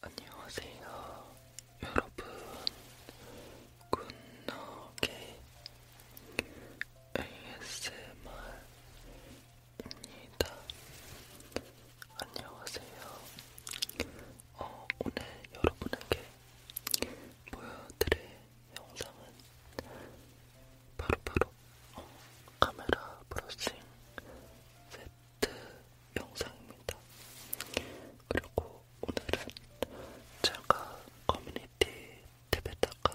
안녕하세요 여러분 굿노게 ASMR입니다 안녕하세요 어, 오늘 여러분에게 보여드릴 영상은 바로바로 바로 어, 카메라 브러싱 세트 영상입니다. 그리고 오늘은 제가 커뮤니티 탭에다가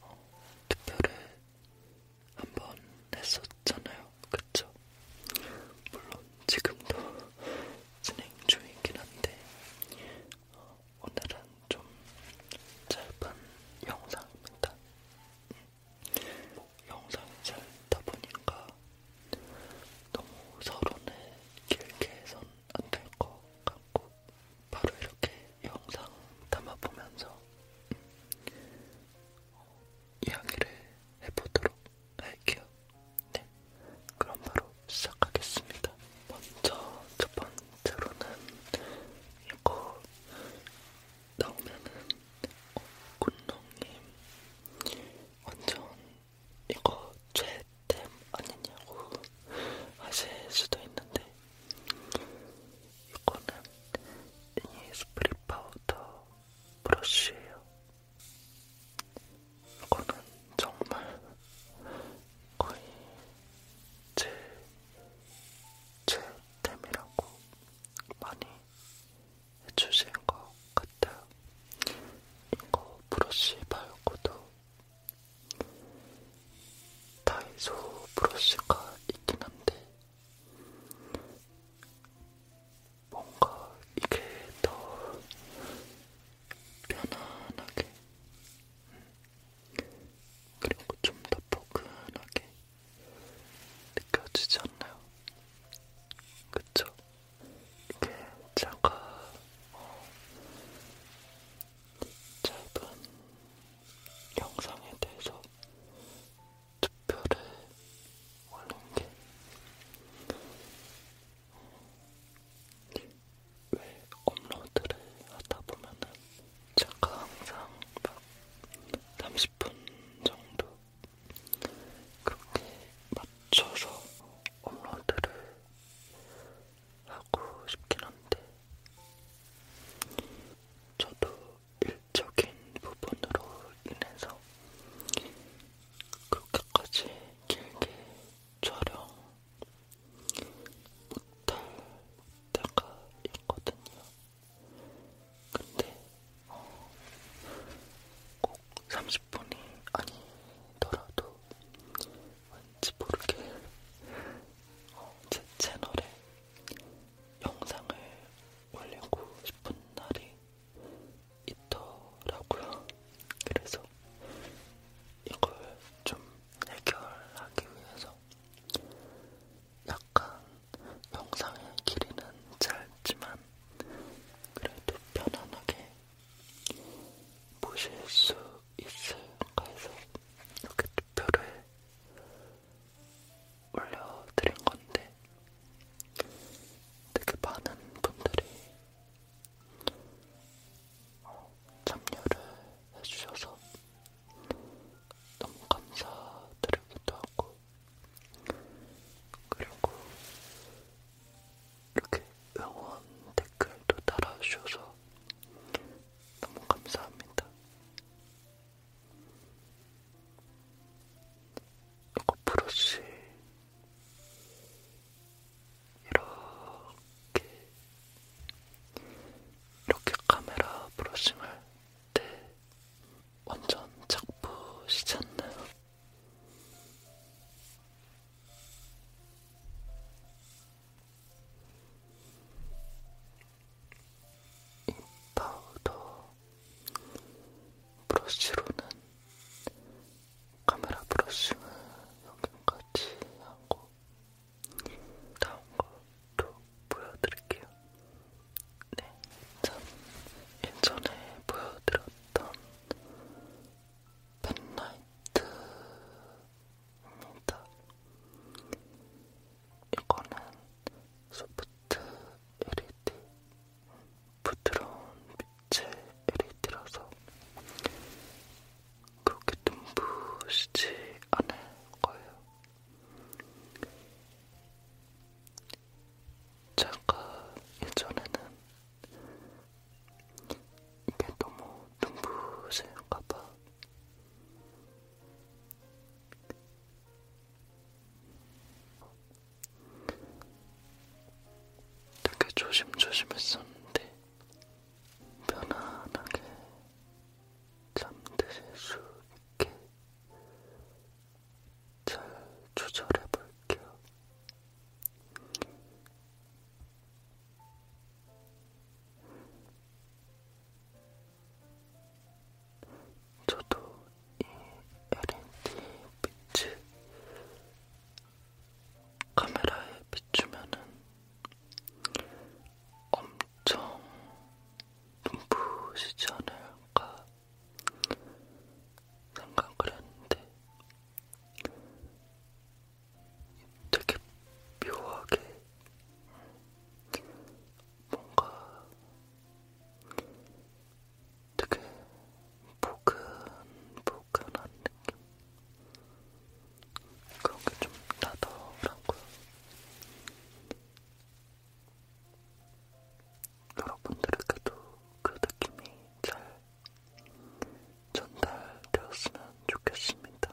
어, 투표를 한 번 했었잖아요. 그쵸? 물론 지금도 진행 중이긴 한데 어, 오늘은 좀 짧은 영상입니다. 뭐, 영상이 짧다 보니까 너무 서론을 길게 해선 안될 것 같고 바로 이렇게 영상 담아보면서 어, 이야기를 해보도록 할게요. 네, 그럼 바로 시작하겠습니다. 먼저 첫 번째로는 이거 나오면은 군농님 완전 이거 최템 아니냐고 하실 수도 있는데 이거는 이 스프릿 파우더 브러쉬예요. 이거는 정말 거의 제, 제 템이라고 많이 해주신 것 같아요. 이거 브러쉬 말고도 다이소 브러쉬가 있긴 한데 뭔가 이게 더 편안하게 음, 그리고 좀 더 포근하게 느껴지지 않나요? 그쵸? 이렇게 차가 어, 짧은 영상에 대해서 투표를 올린 게왜 업로드를 하다 보면은 제가 항상 막 30분 정도 그렇게 맞춰서 업로드를 하고 싶긴 한데 저도 일적인 부분으로 인해서 그렇게까지 길게 촬영 못할 때가 있거든요. 근데 어, 꼭 30분이 아니더라도 왠지 모르게 어, 제 채널에 영상을 올리고 싶은 날이 있더라고요. 그래서 있죠. 이걸 좀 해결하기 위해서 약간 영상의 길이는 짧지만 그래도 편안하게 보실 수 있을까 해서 이렇게 투표를 올려드린 건데 되게 많은 분들이 참여를 해주셔서 너무 감사드리기도 하고, 그리고 이렇게 응원 댓글도 달아주셔서 너무 감사합니다. 이거 브러쉬 이렇게 이렇게 카메라 브러싱 할때 완전 작부시지 않나요? 이 파우더 브러쉬로는 카메라 브러싱을 여기까지 하고 다음 것도 보여드릴게요. 네, 전 예전에 보여드렸던 펜라이트입니다. 이거는 소프트 LED 부드러운 제 LED라서 그렇게 눈부시지 않을 거예요. 제가 예전에는 이게 너무 눈부실까봐 되게 조심조심했었는데 편안하게 잠드실 수 있게 잘 조절해 볼게요. 저도 이 LED 빛을 카메라에 비추면은 엄청 눈부시지 않을까 생각을 했는데 되게 묘하게 뭔가 되게 보근보근한 느낌 그런 게좀 나더라고요. 여러분들에게도 그 느낌이 잘 전달되었으면 좋겠습니다.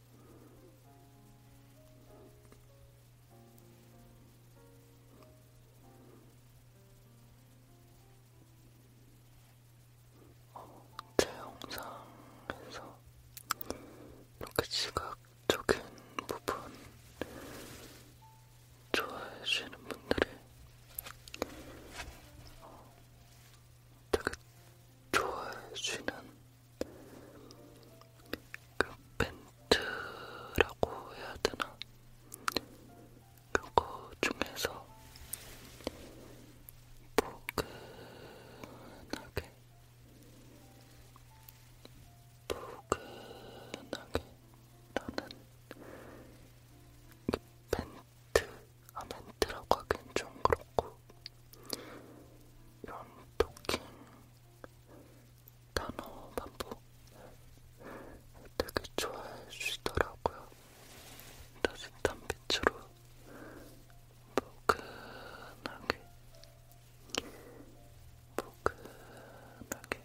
제 영상에서 이렇게 시각적인 부분 좋아해 주시는 분들이 어, 되게 좋아해 주시는 그 벤트라고 해야 되나? 그거 중에서 포근하게 포근하게 나는 벤트 아 벤트라고 하긴 좀 그렇고 이런 토킹 단어 반복 되게 좋아해 주시더라고요. 따뜻한 빛으로 포근하게 포근하게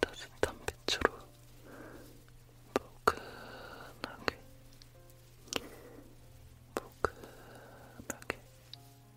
따뜻한 빛으로 포근하게 포근하게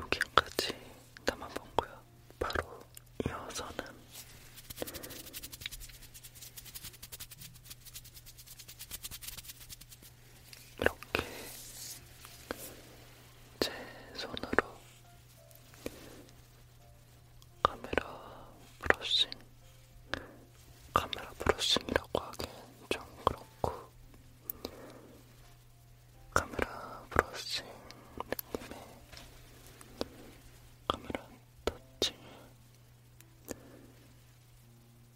여기까지 담아봤고요. 바로 이어서는 이렇게 제 손으로 카메라 브러싱, 카메라 브러싱이라고 하기엔 좀 그렇고 카메라 브러싱 느낌의 카메라 터칭을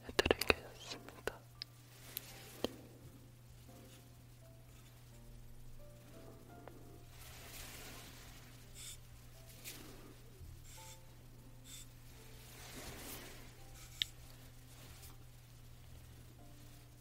해드리겠습니다.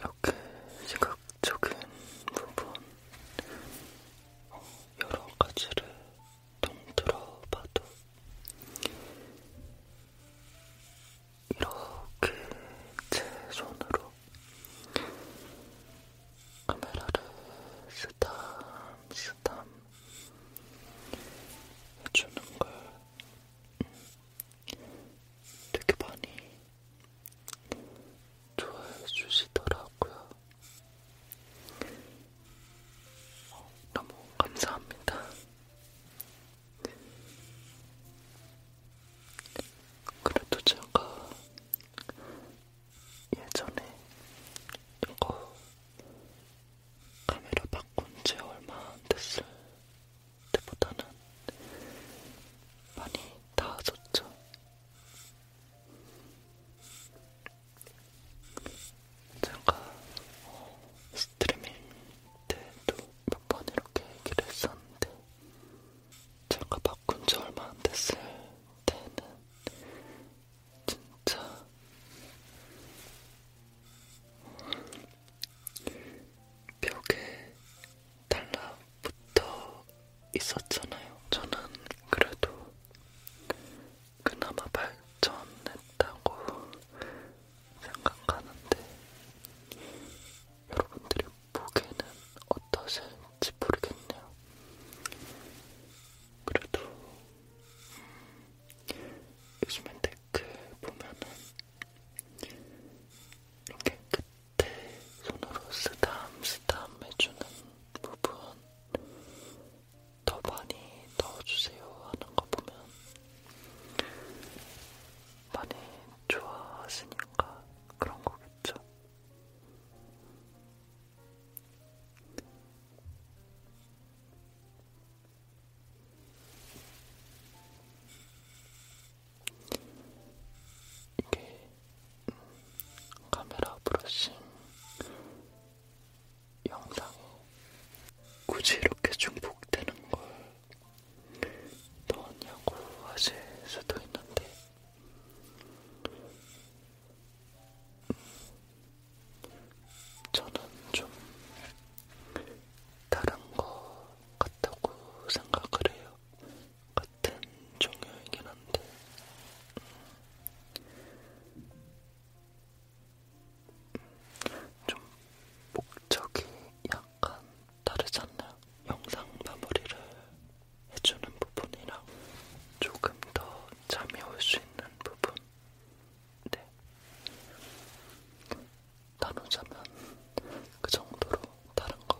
이렇게 시각적인 부분 여러 가지를 통틀어 봐도 이렇게 제 손으로 카메라를 스탐 스탐 해주는 걸 음, 되게 많이 좋아해 주시더라고요. 어, 너무 감사합니다. 그래도 제가 예전에 이거 카메라 바꾼 지 얼마 안 됐을 때보다는 많이 나아졌죠. 제가 어, 스트리밍 때도 몇 번 이렇게 얘기를 했었는데 제가 바꾼 지 얼마 안 됐을 때는 진짜 벽에 달라붙어 있었잖아요. 저는 그래도 그나마 발전했다고 생각하는데 여러분들이 보기에는 어떠실지 모르겠네요. 그래도 요즘엔 댓글 보면은 이렇게 끝에 손으로 쓰담 쓰담 해주는 부분 더 많이 넣어주세요 하는 거 보면 많이 좋아하시니까 그런 거겠죠. 이게 음, 카메라 브러싱 영상이 굳이 이렇게 중복되는 걸 더웠냐고 하실 수도 있는데 음, 저는 좀 다른 것 같다고 생각을 해요. 같은 종류이긴 한데 음, 좀 목적이 약간 다르지 않나요? 영상 마무리를 해주는 부분이랑 조금 더 잠이 올 수 있는 부분. 네. 나누자면 그 정도로 다른 거.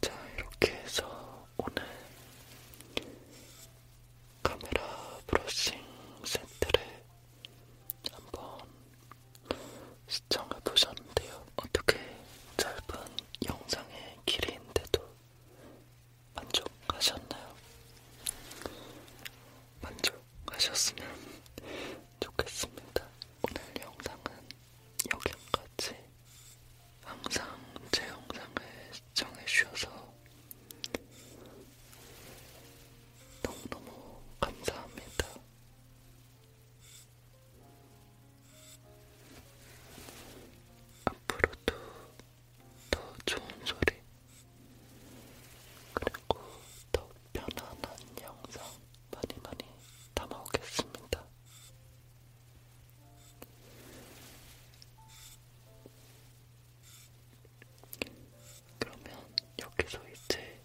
자, 이렇게 해서 오늘 카메라 브러싱 세트를 한번 시청해보셨는데요. 어떻게 짧은 영상의 길이인데도 만족하셨나요? 만족하셨으면 좋겠습니다. 오늘 영상은 여기까지. 항상 제 영상을 시청해주셔서 너무너무 감사합니다. 앞으로도 더 좋은 소리, 그리고 더 편안한 영상 많이 많이 담아오겠습니다. 그러면 여기서 이제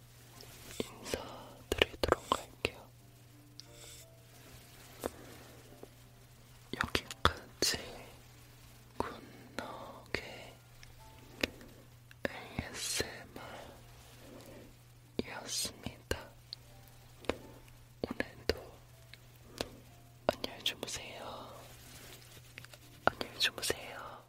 인사드리도록 할게요. 여기까지 굿노게 ASMR이었습니다. 오늘도 안녕히 주무세요. 안녕히 주무세요.